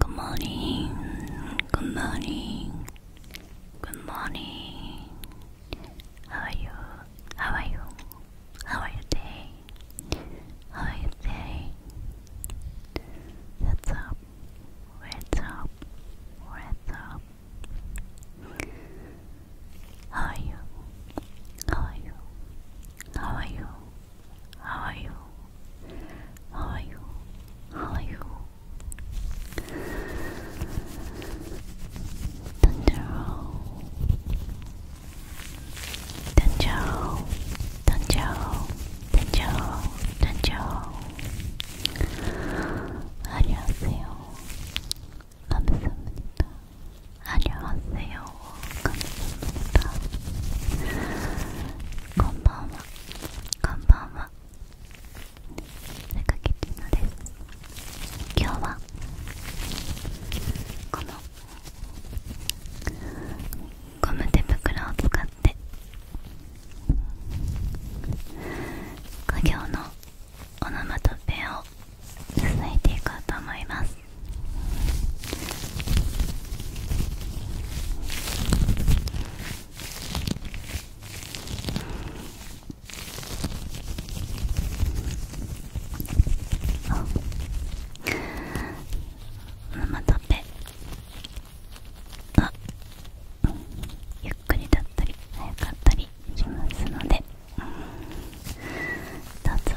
Good morning. Good morning. Good morning. How are you? How are you? How are your day? How are your day? What's up? What's up? What's up? How are you? How are you? How are you? How are you? How are you? How are you? Tanjiro Tanjiro Tanjiro Tanjiro Tanjiro 안녕하세요. 감사합니다. ありますよこんばんす今日はこのゴム手袋を使って家業のオノマトペを続いていこうと思いますママタペあゆっくりだったり早かったりしますのでどうぞ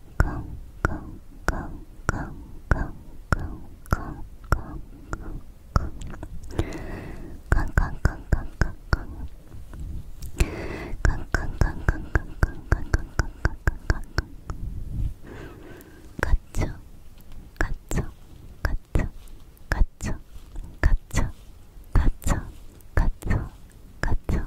go, go, go, go, go, go, go, go, go, go, go, go, go, go, go. Gotcha, gotcha, gotcha, gotcha, gotcha, gotcha, gotcha, gotcha,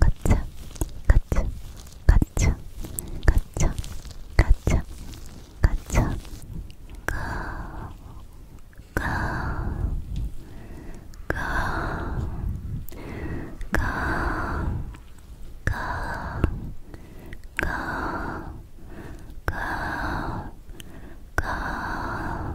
가차 가차 가차 가차 가차 가차 가 가, 가, 가, 가, 가, 가, 가, 가,